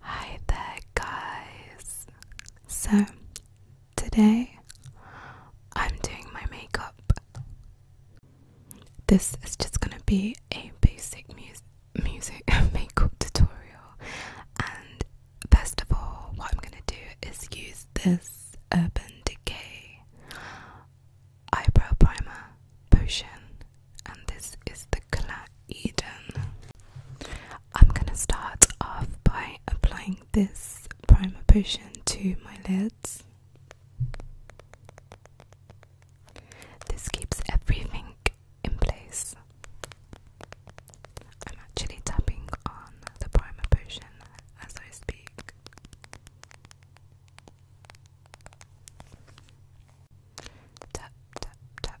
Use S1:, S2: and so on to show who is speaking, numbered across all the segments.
S1: Hi there, guys! So, today I'm doing my makeup. This is just gonna be a basic music makeup tutorial, and first of all, what I'm gonna do is use this Urban Decay eyebrow primer potion, and this is the Nicola Eden. I'm gonna start off by applying this primer potion to my lids. This keeps everything in place. I'm actually tapping on the primer potion as I speak. Tap, tap, tap,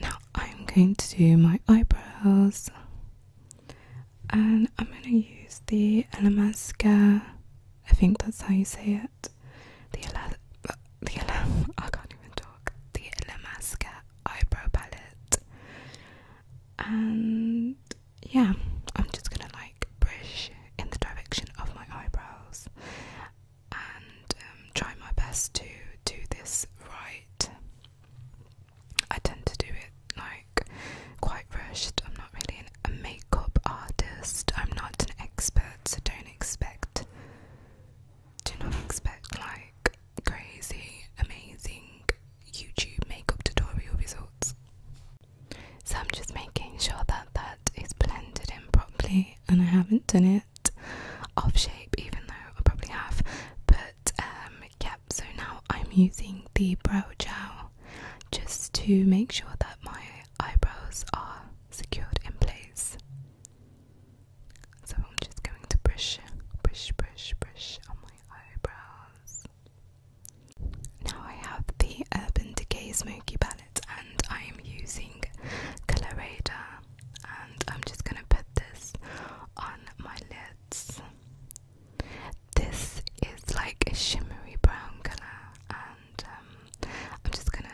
S1: Now I'm going to do my eyebrows and I'm going to use the Elemaska, I think that's how you say it. The Ele the Ele I can't even talk. The Elemaska eyebrow palette. And yeah, I'm just gonna like brush in the direction of my eyebrows and um, try my best to do this right. I tend to do it like quite rushed. I'm not really a makeup artist. I'm not an expert, so don't expect. Do not expect like crazy, amazing YouTube makeup tutorial results. So I'm just making sure that that is blended in properly, and I haven't done it off shape, even though I probably have, but but um, so now I'm using the brow gel just to make sure that my eyebrows are secured in place. So I'm just going to brush, brush, brush, brush on my eyebrows. Now I have the Urban Decay Smoky Palette and I am using Colorada and I'm just gonna put this on my lids. This is like a shimmery brown colour, and I'm just gonna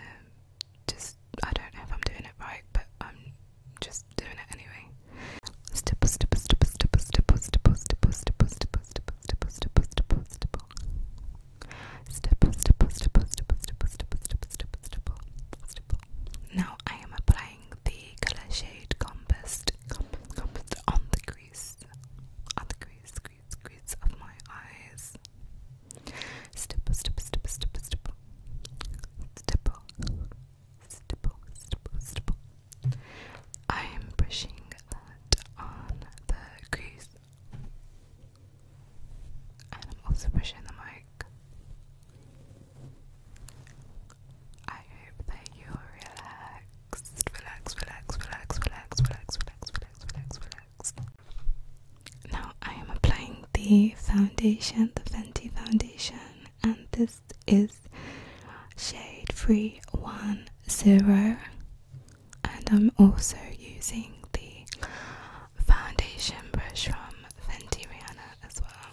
S1: just I don't know if I'm doing it right, but I'm just doing it anyway. Now I am applying the colour shade Compassed, on the crease, on the crease, crease, crease of my eyes. Stipple, stipple, stipple, stipple, stipple, stipple, stipple, stipple, stipple. I am brushing that on the crease, and I'm also brushing the mic. I hope that you're relaxed. Relax, relax, relax, relax, relax, relax, relax, relax, relax. Now I am applying the foundation, the Fenty foundation, and this is shade three one zero. And I'm also using the foundation brush from Fenty Rihanna as well.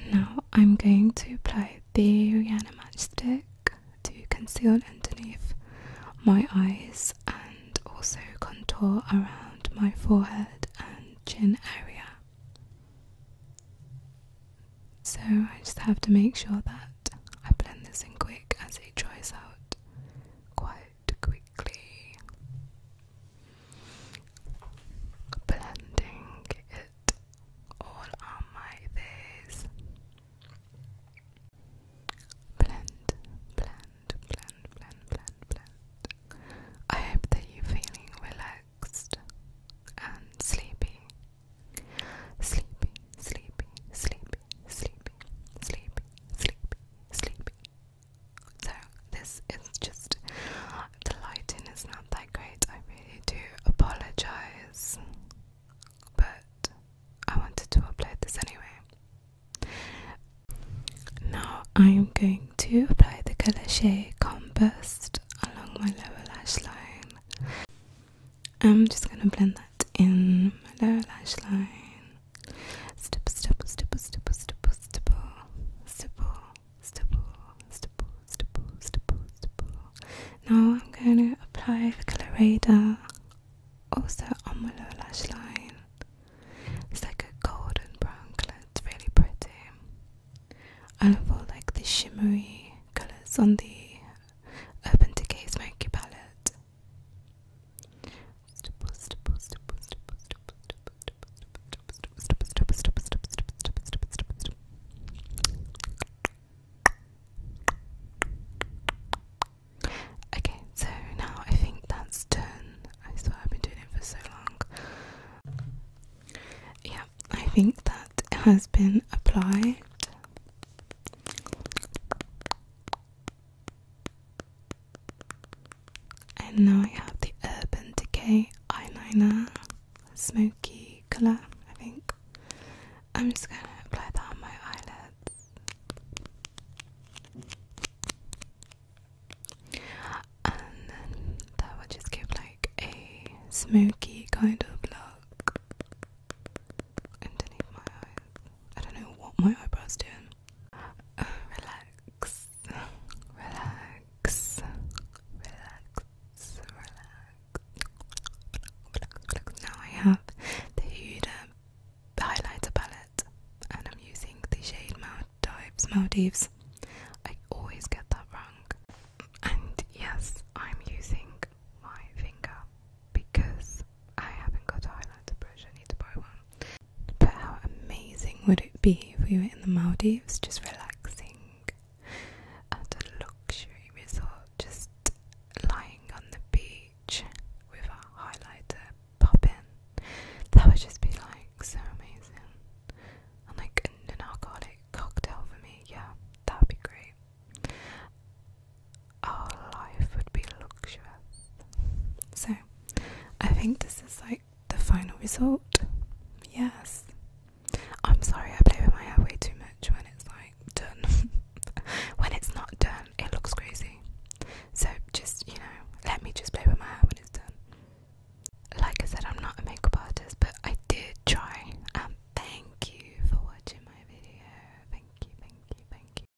S1: And now I'm going to apply the Rihanna stick to conceal underneath my eyes and also contour around my forehead and chin area. So I just have to make sure that I blend this in quick as it dries out quite it quickly, blending it all on my face. Blend, blend, blend, blend, blend, blend. I hope that you're feeling relaxed and sleepy. Sleepy, sleepy, sleepy, sleepy, sleepy, sleepy, sleepy. So this is just the lighting is not that great. I really do apologize, but I wanted to upload this anyway. Now I am going to apply the color shade Combust along my lower lash line. I'm just gonna blend that in my lower lash line. Stipple, stipple, stipple, stipple, stipple, stipple, stipple, stipple, stipple, stipple, stipple, stipple. Now I'm going to apply the colorator also on my lower lash line. It's like a golden brown colour, it's really pretty. I love all like the shimmery colours on the Urban Decay Smoky palette. Okay, so now I think that's done. I swear I've been doing it for so long. Yeah, I think that has been applied. And now I have the Urban Decay eyeliner, smoky colour, I think. I'm just going to apply that on my eyelids. And then that will just give like a smoky kind of look underneath my eyes. I don't know what my eyebrow's doing. Oh, relax, relax, relax, relax. Now I have the Huda highlighter palette, and I'm using the shade Maldives. Maldives. I always get that wrong. And yes, I'm using my finger because I haven't got a highlighter brush, I need to buy one. But how amazing would it be if we were in the Maldives just relaxing at a luxury resort, just lying on the beach with our highlighter popping? That would just be like so amazing. And like an alcoholic cocktail for me, yeah, that'd be great our life would be luxurious. So, I think this is like the final result. Yes. I'm sorry, I play with my hair way too much when it's like done. when it's not done, it looks crazy. So, just, you know, let me just play with my hair when it's done. Like I said, I'm not a makeup artist, but I did try. And um, thank you for watching my video. Thank you, thank you, thank you.